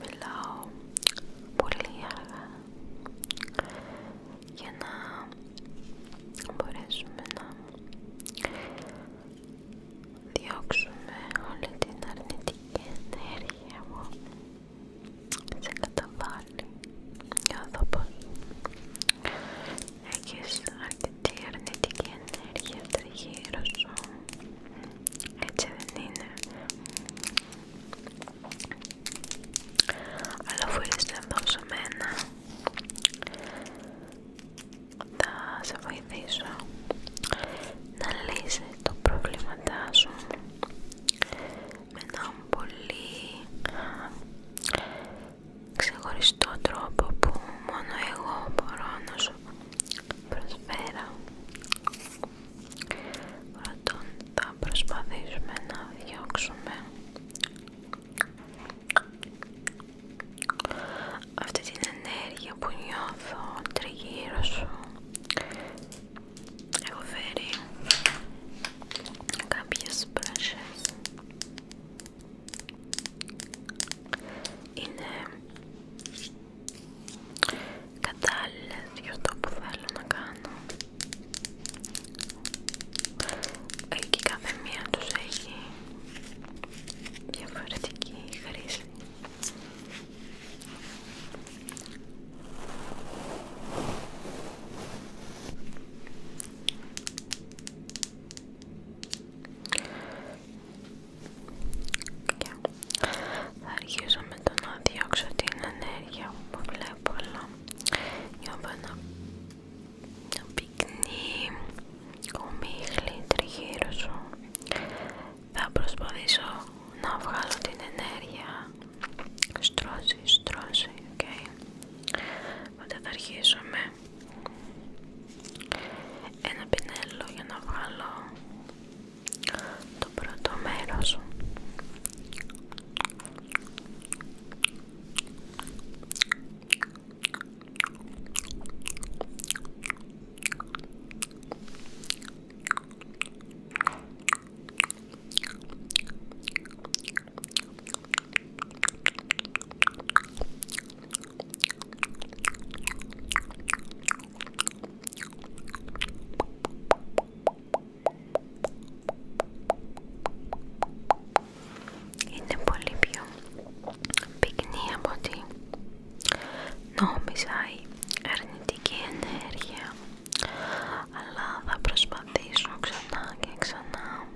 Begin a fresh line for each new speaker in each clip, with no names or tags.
μιλάω πολύ αργά για να μπορέσουμε να διώξουμε όλη την αρνητική ενέργεια μου σε καταβάλει νιώθω πως έχεις αρκετή αρνητική ενέργεια τριγύρω σου έτσι δεν είναι αλλά, Αφού είστε δοσμένα, θα σε βοηθήσω να λύσεις το πρόβλημά σου με έναν πολύ ξεχωριστό τρόπο που μόνο εγώ μπορώ να σου προσφέρω. Πρώτον θα προσπαθήσουμε να διώξουμε αυτή την ενέργεια που νιώθω τριγύρω σου. Έχω φέρει κάποιες μπράσες. Είναι κατάλληλες για αυτό που θέλω να κάνω εκεί κάθε μία τους έχει διαφορετική χρήση και θα αρχίσω με το να διώξω την ενέργεια που βλέπω, αλλά να ένα πυκνή κομίχλι τριγύρω Θα προσπαθήσω να βγάλω την ενέργεια. Στρώση, στρώση, οκ. Οπότε θα αρχίσω με ένα πινέλο για να βγάλω το πρώτο μέρος είναι πολύ πιο πυκνή από ότι νόμιζα η αρνητική ενέργεια αλλά θα προσπαθήσω ξανά και ξανά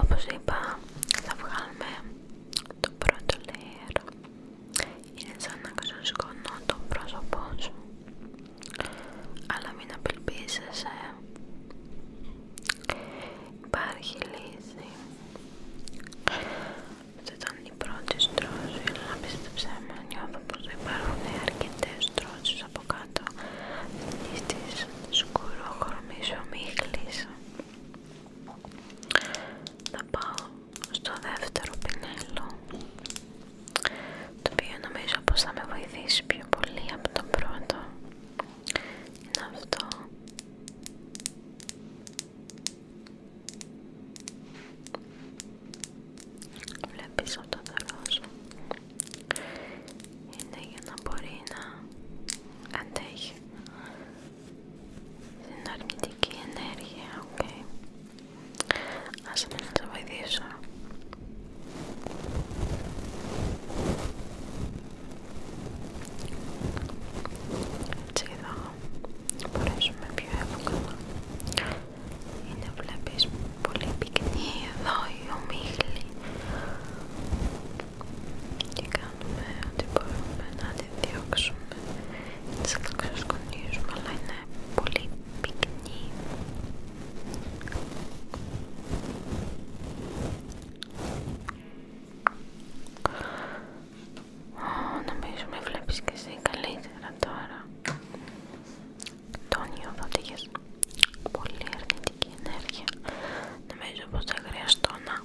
όπως είπα θα βγάλουμε το πρώτο layer είναι σαν να ξεσκονώ το πρόσωπό σου αλλά μην απελπίζεσαι Υπάρχει λύση Αυτή ήταν η πρώτη στρώση αλλά πίστεψέ με νιώθω πως υπάρχουν αρκετές στρώσεις από κάτω αυτής της σκουρόχρωμής θα πάω στο δεύτερο πινέλο το οποίο νομίζω πως θα με βοηθήσει πιο πολύ από το πρώτο είναι αυτό βλέπεις όλο το ροζ είναι για να μπορεί να αντέχει την αρνητική ενέργεια, οκ. Okay. Άσε να σε βοηθήσω. Έτσι εδώ μπορέσουμε πιο εύκολα. Είναι βλέπεις πολύ πυκνή εδώ η ομίχλη και κάνουμε ό,τι μπορούμε να τη διώξουμε τις ξεσκονίζουμε αλλά είναι πολύ πυκνή Νομίζω με βλέπεις κι εσύ καλύτερα τώρα Τόνιο θα τύχες πολύ αρνητική ενέργεια Νομίζω πως θα χρειαστώ να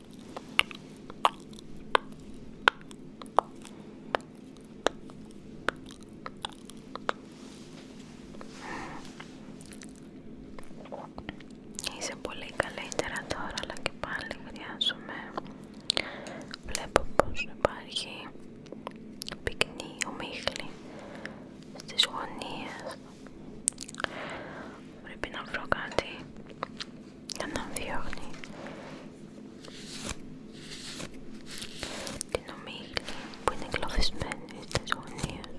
Είσαι πολύ καλύτερα τώρα, αλλά και πάλι χρειάζομαι. Βλέπω πως υπάρχει πυκνή ομίχλη στις γωνίες. Πρέπει να βρω κάτι να τον διώχνει την ομίλη που είναι κλωβισμένη στις γωνίες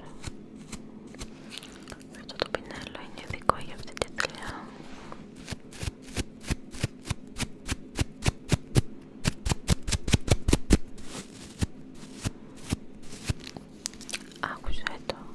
αυτό το πινέλο είναι ειδικό για αυτή τη άκουσε το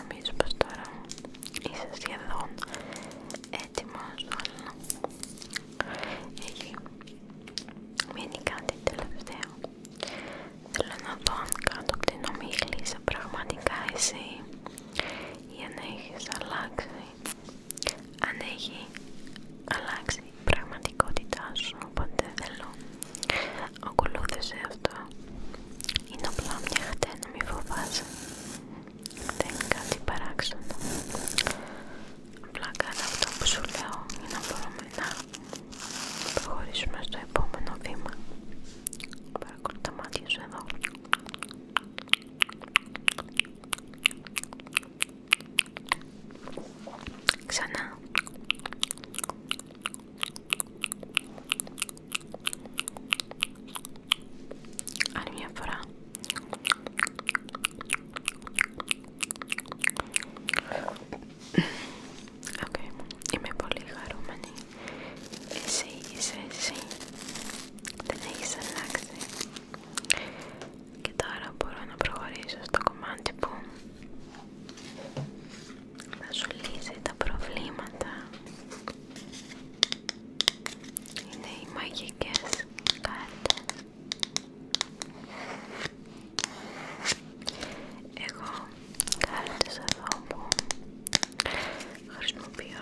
Νομίζω πως τώρα είσαι σχεδόν έτοιμος αλλά έχει μείνει κάτι τελευταίο. Θέλω να δω αν κάτω από την ομίχλη είσαι πραγματικά εσύ για να έχεις αλλάξει αν έχει αλλάξει η πραγματικότητά σου, οπότε θέλω ακολούθησε αυτό είναι απλά μια χτένα, μη φοβάσαι δεν είναι κάτι παράξενο απλά κάνω αυτό που σου λέω για να μπορούμε να προχωρήσουμε στο επόμενο βήμα παρακολουθώ τα μάτια εδώ Ξανά. Άλλη μια φορά. Okay. Είμαι πολύ χαρούμενη. Εσύ είσαι εσύ. Δεν έχεις αλλάξει και τώρα μπορώ να προχωρήσω στο κομμάτι που θα σου λύσει τα προβλήματα είναι οι μαγικές κάρτες εγώ κάρτες εδώ που χρησιμοποιώ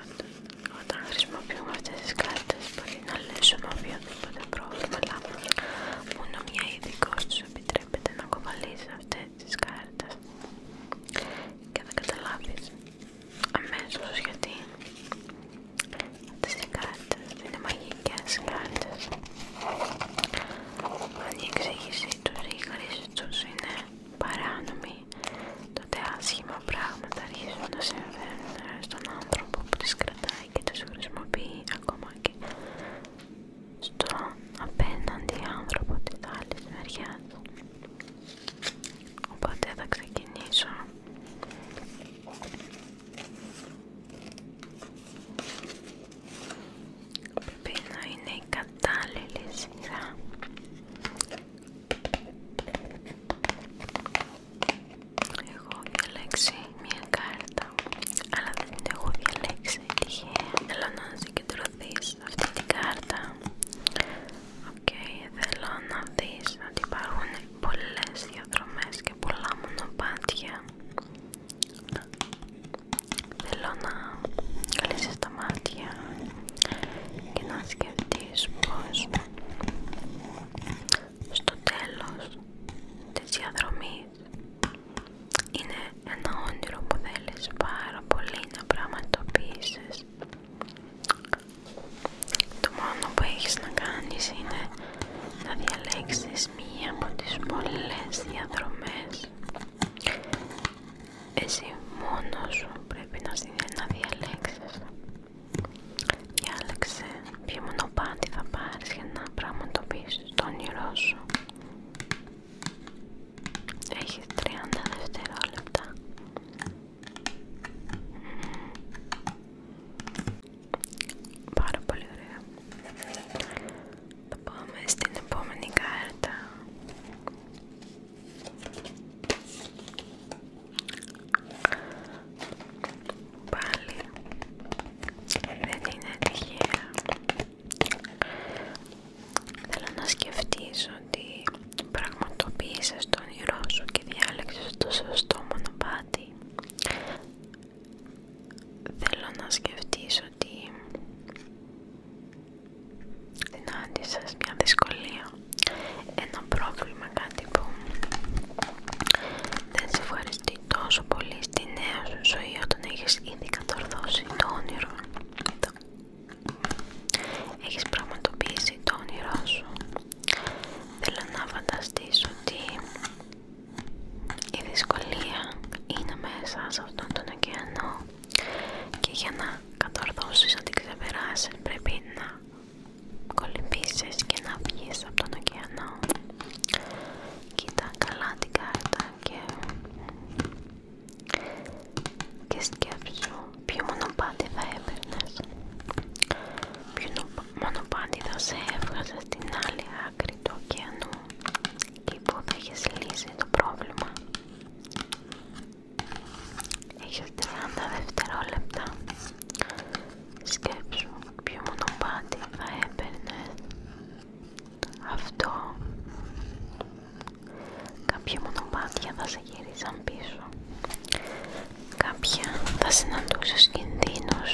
όταν χρησιμοποιούμε αυτές τις κάρτες μπορεί να λύσουμε οποιοδήποτε πρόβλημα αλλά μόνο μια ειδικός τους επιτρέπεται να κοβαλήσει αυτές τις κάρτες και θα καταλάβεις αμέσως γιατί αυτές οι κάρτες είναι μαγικές κάρτες αν η εξήγησή τους ή η χρήση τους είναι παράνομη τότε άσχημα πράγματα αρχίζουν να συμβαίνουν στον άνθρωπο που τις κρατάει και τις χρησιμοποιεί ακόμα και στον απέναντι άνθρωπο της άλλης μεριάς. Οπότε θα ξεκινήσω Πρέπει να είναι η κατάλληλη σειρά εγώ διαλέξει μια κάρτα, αλλά δεν την έχω διαλέξει τυχαία. Θέλω να συγκεντρωθεί σε αυτή την κάρτα. Οκ, θέλω να δει ότι υπάρχουν πολλέ διαδρομέ και πολλά μονοπάτια. Θέλω να κλείσει τα μάτια και να σκεφτεί πώ στο τέλος της διαδρομής είναι ένα όνειρο που θέλεις πάρα πολύ να πραγματοποιήσεις το μόνο που έχεις να κάνεις είναι να διαλέξεις μία από τις πολλές διαδρομές εσύ μόνος σου πρέπει να, να διαλέξεις Διάλεξε ποιο μονοπάτι θα πάρεις για να πραγματοποιήσεις το όνειρό σου. Έχεις 30 δευτερόλεπτα. Πάρα πολύ ωραία. Θα πάμε στην επόμενη κάρτα. Πάλι δεν είναι τυχαία. Θέλω να σκεφτείς ότι πραγματοποίησες τον όνειρό σου και διάλεξες το σωστό μονοπάτι. Θέλω να σκεφτείς ότι Συνάντησα μια δυσκολία, ένα πρόβλημα, κάτι που δεν σε ευχαριστεί τόσο πολύ στη νέα σου ζωή όταν έχεις ήδη κατορθώσει το όνειρο. Έχεις πραγματοποιήσει το όνειρό σου. Θέλω να φανταστείς ότι η δυσκολία είναι μέσα σε αυτόν τον ωκεανό και για να κατορθώσεις να την ξεπεράσεις πρέπει να κολυμπήσεις και να βγεις από τον ωκεανό κοίτα καλά την κάρτα και, και σκέψου ποιο μονοπάτι θα έπαιρνες ποιο μονοπάτι θα σε έβγαζε στην άλλη άκρη του ωκεανού και που θα έχεις λύσει το πρόβλημα Έχεις 30 δευτερόλεπτα. Σκέψου ποιο μονοπάτι θα έπαιρνε αυτό. Κάποια μονοπάτια θα σε γυρίζαν πίσω. Κάποια θα συναντούσες κινδύνους.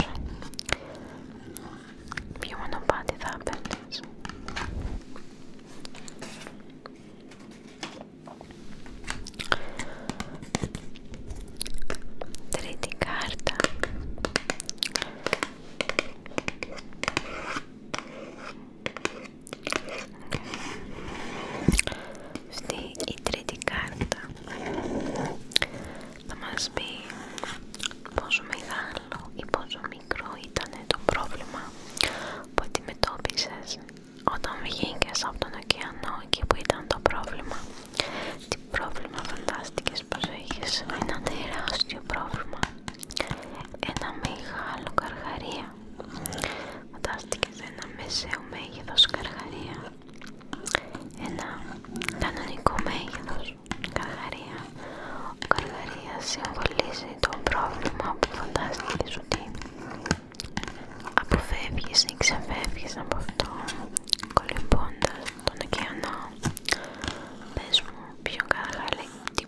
Ποιο μονοπάτι θα έπαιρνες. Τρίτη κάρτα. Αυτή η τρίτη κάρτα θα μας πει πόσο μεγάλο ή πόσο μικρό ήταν το πρόβλημα που αντιμετώπισε όταν βγήκε από τον ωκεανό εκεί που ήταν το πρόβλημα. Τι πρόβλημα φαντάστηκε πω είχε, ένα τεράστιο πρόβλημα. Ένα μεγάλο καρχαρία. Φαντάστηκε ένα μεσαίο μέγεθο καρχαρία. Ένα κανονικό μέγεθο καρχαρία Καρδαρία συμβολίζει το πρόβλημα που φαντάστηκες ότι αποφεύγεις ή ξεφεύγεις από αυτό κολυμπώντας τον ωκεανό. Πες μου πιο καλά τι,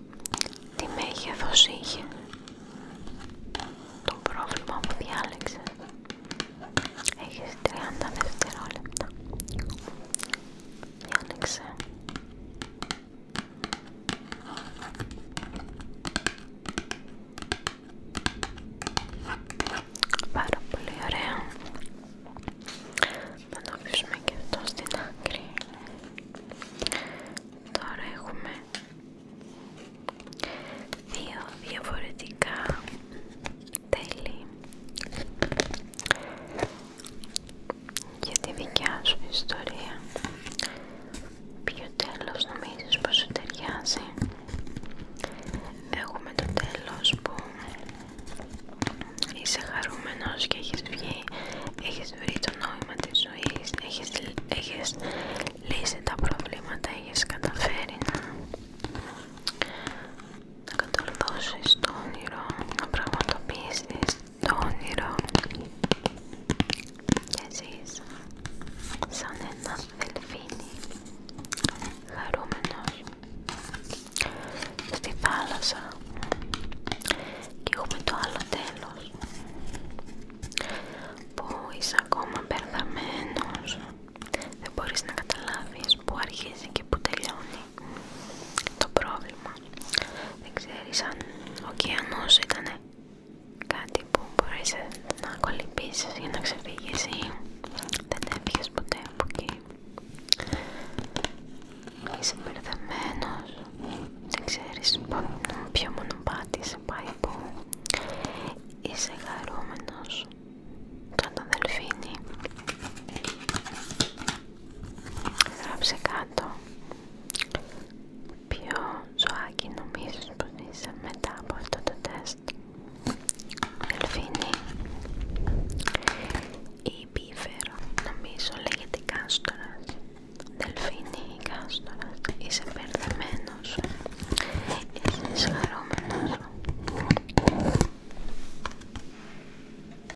τι μέγεθος είχε το πρόβλημα που διάλεξε. Έχεις 30 δευτερόλεπτα. Διάλεξε. Πάρα πολύ ωραία. Θα το και αυτό στην άκρη. Τώρα έχουμε δύο διαφορετικά τέλη για τη δικιά σου ιστορία. Ποιο τέλος νομίζεις πως σου ταιριάζει. Έχουμε το τέλος που είσαι χαρούμενος και έχεις βγει, έχεις βρει το νόημα της ζωής, έχεις, λύσει τα προβλήματα, έχεις καταφέρει να, να το όνειρο, να πραγματοποιήσεις το όνειρο και ζεις σαν ένα δελφίνι χαρούμενος στη θάλασσα και έχουμε το άλλο τέλος που είσαι ακόμα μπερδαμένος δεν μπορείς να καταλάβεις που αρχίζει και που τελειώνει το πρόβλημα δεν ξέρεις αν ο ωκεανός ήταν κάτι που μπορείς να κολυμπήσεις για να ξεφύγεις ή δεν έφυγες ποτέ από εκεί. Είσαι μπερδεμένος, δεν ξέρεις ποιο μονοπάτι σε πάει που είσαι χαρούμενος. Κατά αδελφίνη. Γράψε κάτω ποιο ζωάκι νομίζεις πως είσαι μετά από αυτό το τεστ Δελφίνη ή πίφερο νομίζω λέγεται κάστορας Δελφίνη ή κάστορας είσαι μπερδεμένος είσαι χαρούμενος